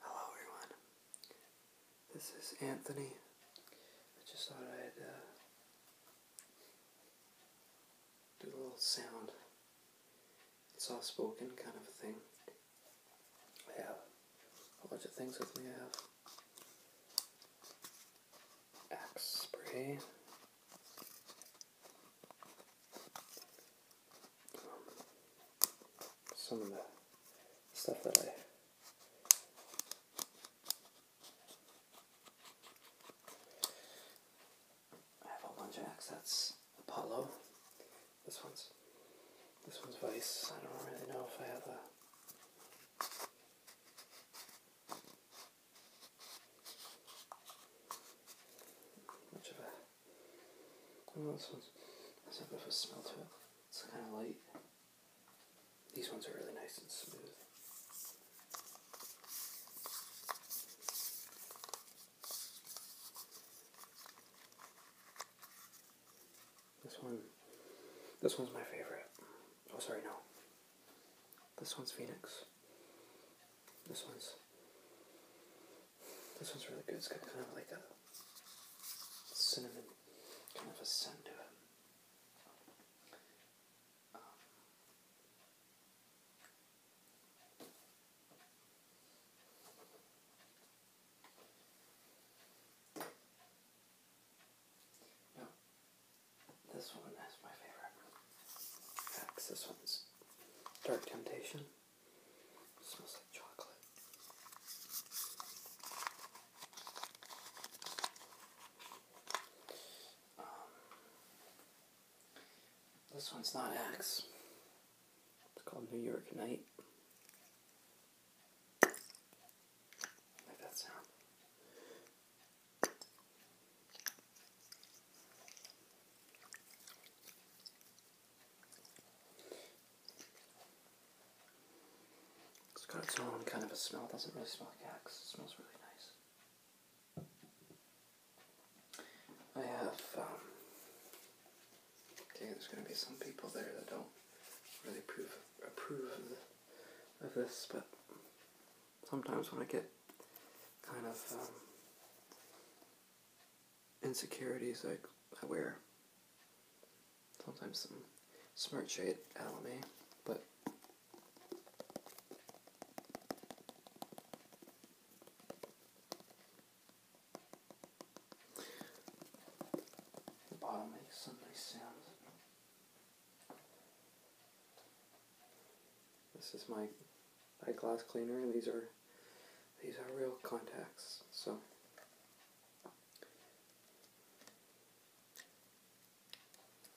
Hello everyone, this is Anthony. I just thought I'd uh, do a little sound, soft spoken kind of thing. I have a bunch of things with me. I have axe spray, some of the stuff that I have a bunch of acts. That's Apollo. This one's this one's Vice. I don't really know if I have much of a I don't this one's has a bit of a smell to it. It's kind of light. These ones are really nice and smooth. This one, this one's my favorite. Oh, sorry, no. This one's Phoenix. This one's this one's really good. It's got kind of like a cinnamon kind of a scent to it. Um, this one is my favorite. This one's Dark Temptation. Um, this one's not X. It's called New York Night. I that sound. It's got its own kind of a smell, it doesn't really smell like axe, it smells really nice. I have, um, okay, there's going to be some people there that don't really approve, approve of this, but sometimes when I get kind of um, insecurities, I, I wear sometimes some Smart Shade Alame, but the bottom makes some nice sounds. This is my eye glass cleaner, and these are these are real contacts. So.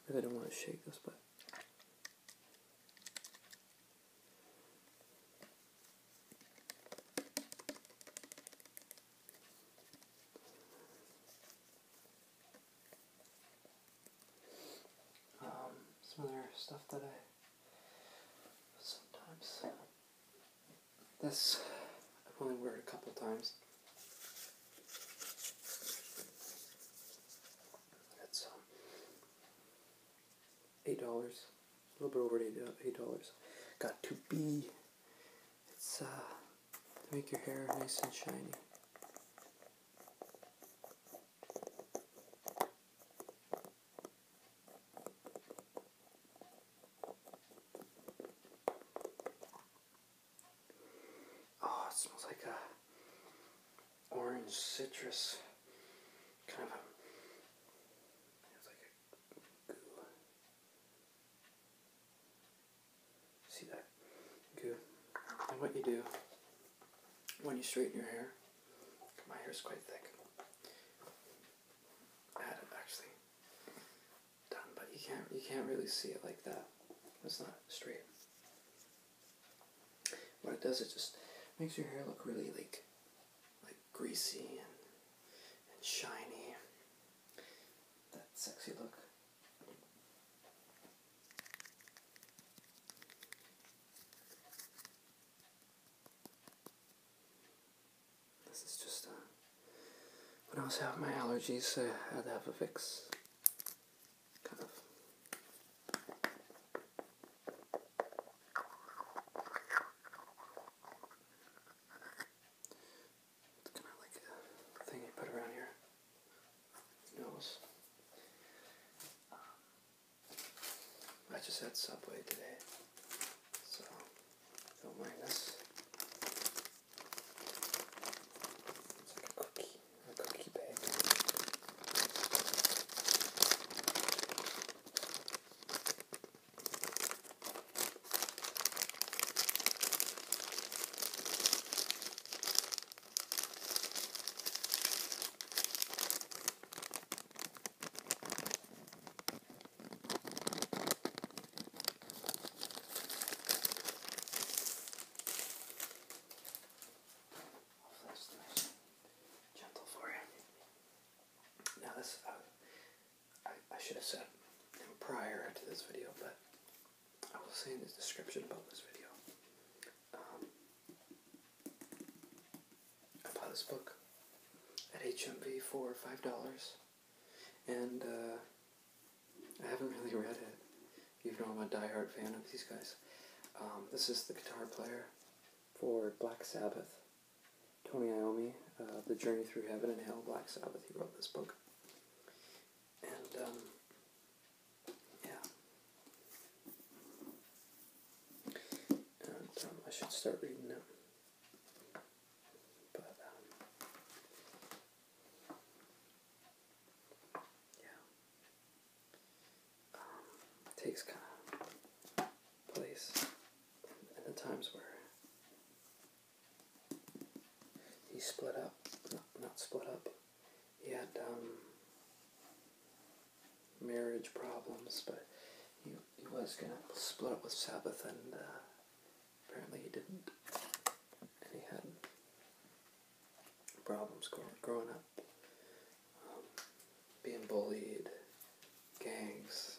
I don't want to shake this, but um, some other stuff that I sometimes this I've only it a couple times. That's um, eight dollars, a little bit over uh, eight dollars. Got to be. It's uh, make your hair nice and shiny. Oh, it smells like a orange citrus kind of a goo. See that goo? And what you do when you straighten your hair, my hair is quite thick. I had it actually done, but you can't you can't really see it like that. It's not straight. What it does, is just makes your hair look really like like greasy and shiny. That sexy look. This is just, uh, when I was having my allergies, I had to have a fix. kind of like a thing you put around here knows. Um, I just had Subway today, so don't mind this. It's like a cookie, a cookie bag gentle for you. Now this, uh, I, I should have said prior to this video, but I will say in the description about this video um, I bought this book at HMV for five dollars, and uh, I haven't really read it, even though I'm a diehard fan of these guys. Um, this is the guitar player for Black Sabbath, Tony Iommi, uh, The Journey Through Heaven and Hell, Black Sabbath. He wrote this book, and um, yeah. Um, I should start reading them. But, um, yeah. Um, takes kind of place in, the times where he split up, not split up, he had um, marriage problems, but he, he was going to split up with Sabbath, and uh, apparently he didn't. And he had problems growing up, um, being bullied, gangs,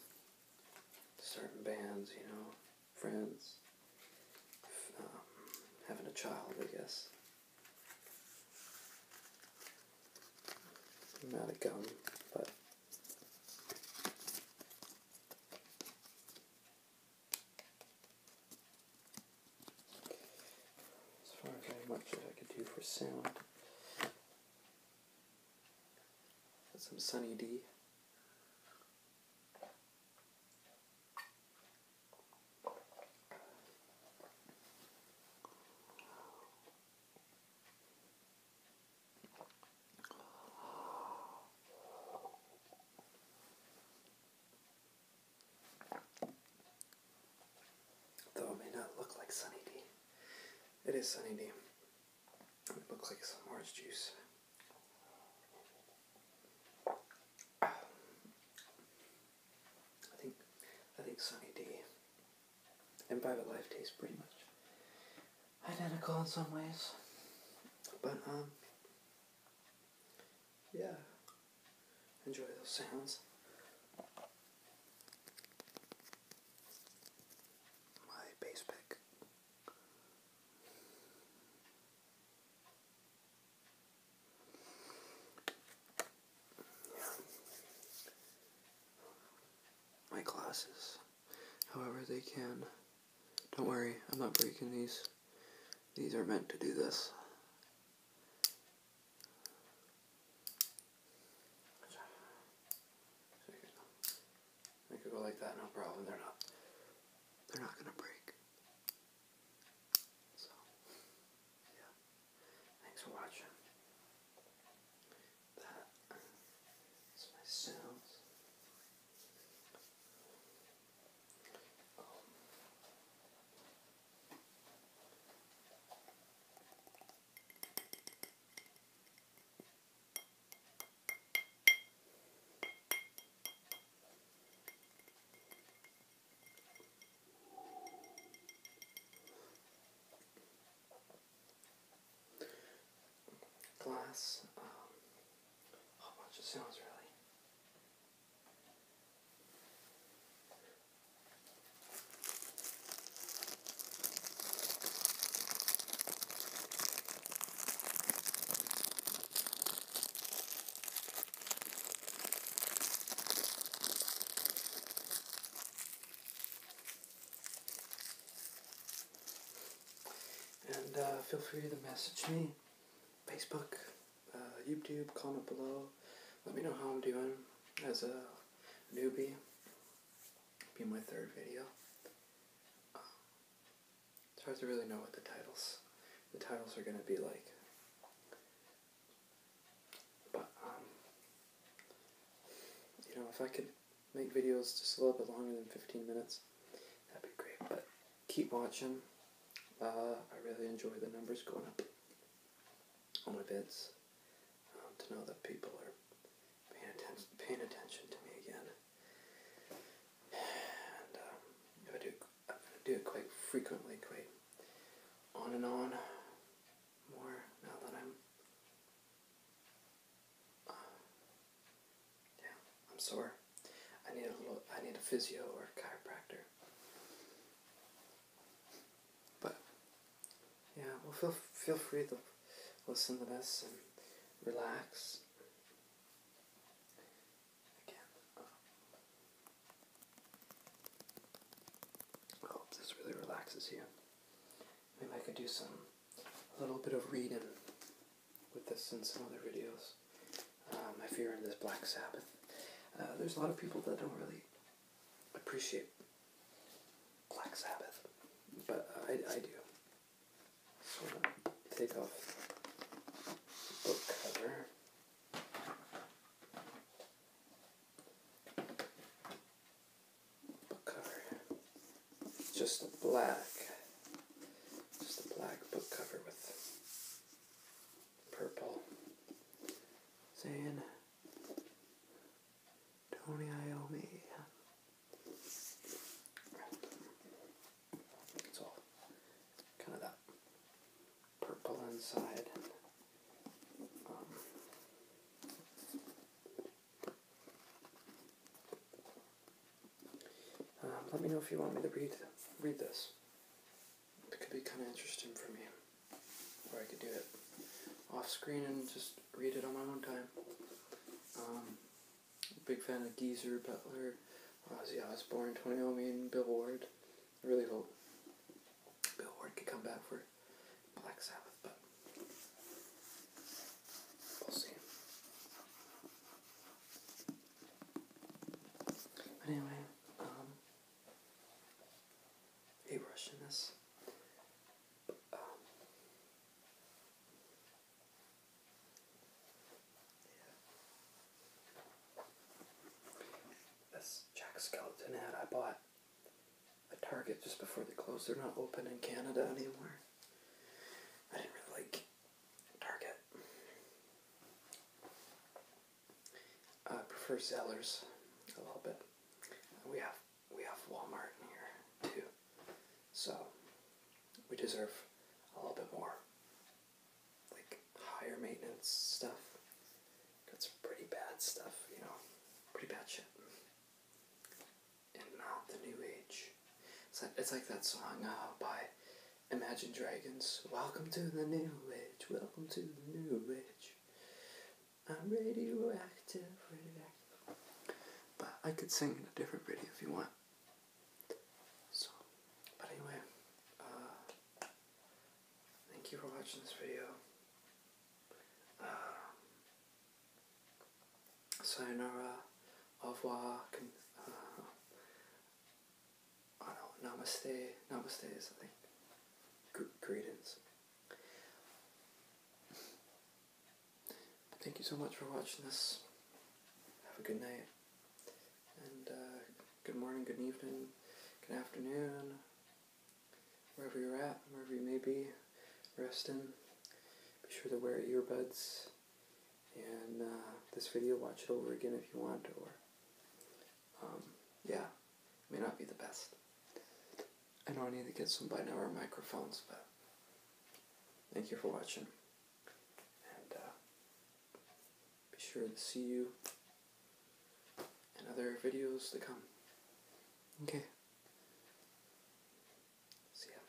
certain bands, you know, friends. Um, having a child, I guess. I'm out of but. As far as how much as I could do for sound. Got some Sunny D. Though it may not look like Sunny D. It is Sunny D. It looks like some orange juice. I think I think Sunny day and Private Life taste pretty much identical in some ways, but um, yeah, enjoy those sounds. My bass pick. My glasses. However they can. Don't worry, I'm not breaking these. These are meant to do this. They could go like that, no problem. They're not. They're not gonna break. So, yeah. Thanks for watching. That is my sounds. Um, glass, um, a oh, whole bunch of sounds really. And uh, feel free to message me, Facebook, uh, YouTube, comment below. Let me know how I'm doing as a newbie. Be my third video. It's hard to really know what the titles, the titles are going to be like. But, um, you know, if I could make videos just a little bit longer than 15 minutes, that'd be great. But keep watching. Uh, I really enjoy the numbers going up on events um, to know that people are paying attention, paying attention to me again. Um, I do, am going to do it quite frequently, quite on and on more now that I'm. Uh, yeah, I'm sore. I need a need a physio or a chiropractor. But yeah, well feel feel free to listen to this and relax Again, this really relaxes you. Maybe I could do some, a little bit of reading with this in some other videos. Um, if you're in this Black Sabbath, uh, there's a lot of people that don't really appreciate Black Sabbath, but I, I do. Sort take off the book cover. Book cover. just a black, just a black book cover with purple saying Tony Iommi it's all kind of that purple inside. Um, uh, let me know if you want me to read read this. It could be kind of interesting for me, or I could do it off screen and just read it on my own time. Um, Big fan of Geezer, Butler, Ozzy Osbourne, Tony Omian, Bill Ward. I really hope Bill Ward could come back for Black Sabbath, but we'll see. anyway, um, a in this. Um, this Jack Skeleton hat I bought at Target just before they closed. They're not open in Canada anymore. I didn't really like Target. I prefer Zellers a little bit. We have we have Walmart in here too. So we deserve a little bit more like higher maintenance stuff. That's pretty bad stuff, you know, pretty bad shit. And not the new age. It's like, it's like that song uh, by Imagine Dragons. Welcome to the new age. Welcome to the new age. I'm radioactive, radioactive. But I could sing in a different video if you want. So, but anyway, uh, thank you for watching this video. Um, sayonara, au revoir, can, uh, I don't namaste, namaste is I think, greetings thank you so much for watching this. Have a good night. And uh, good morning, good evening, good afternoon. Wherever you're at, wherever you may be, resting. Be sure to wear earbuds. And uh, this video, watch it over again if you want, or um, yeah, may not be the best. I know I need to get some binaural microphones, but thank you for watching. And uh, be sure to see you in other videos to come. Okay. See ya.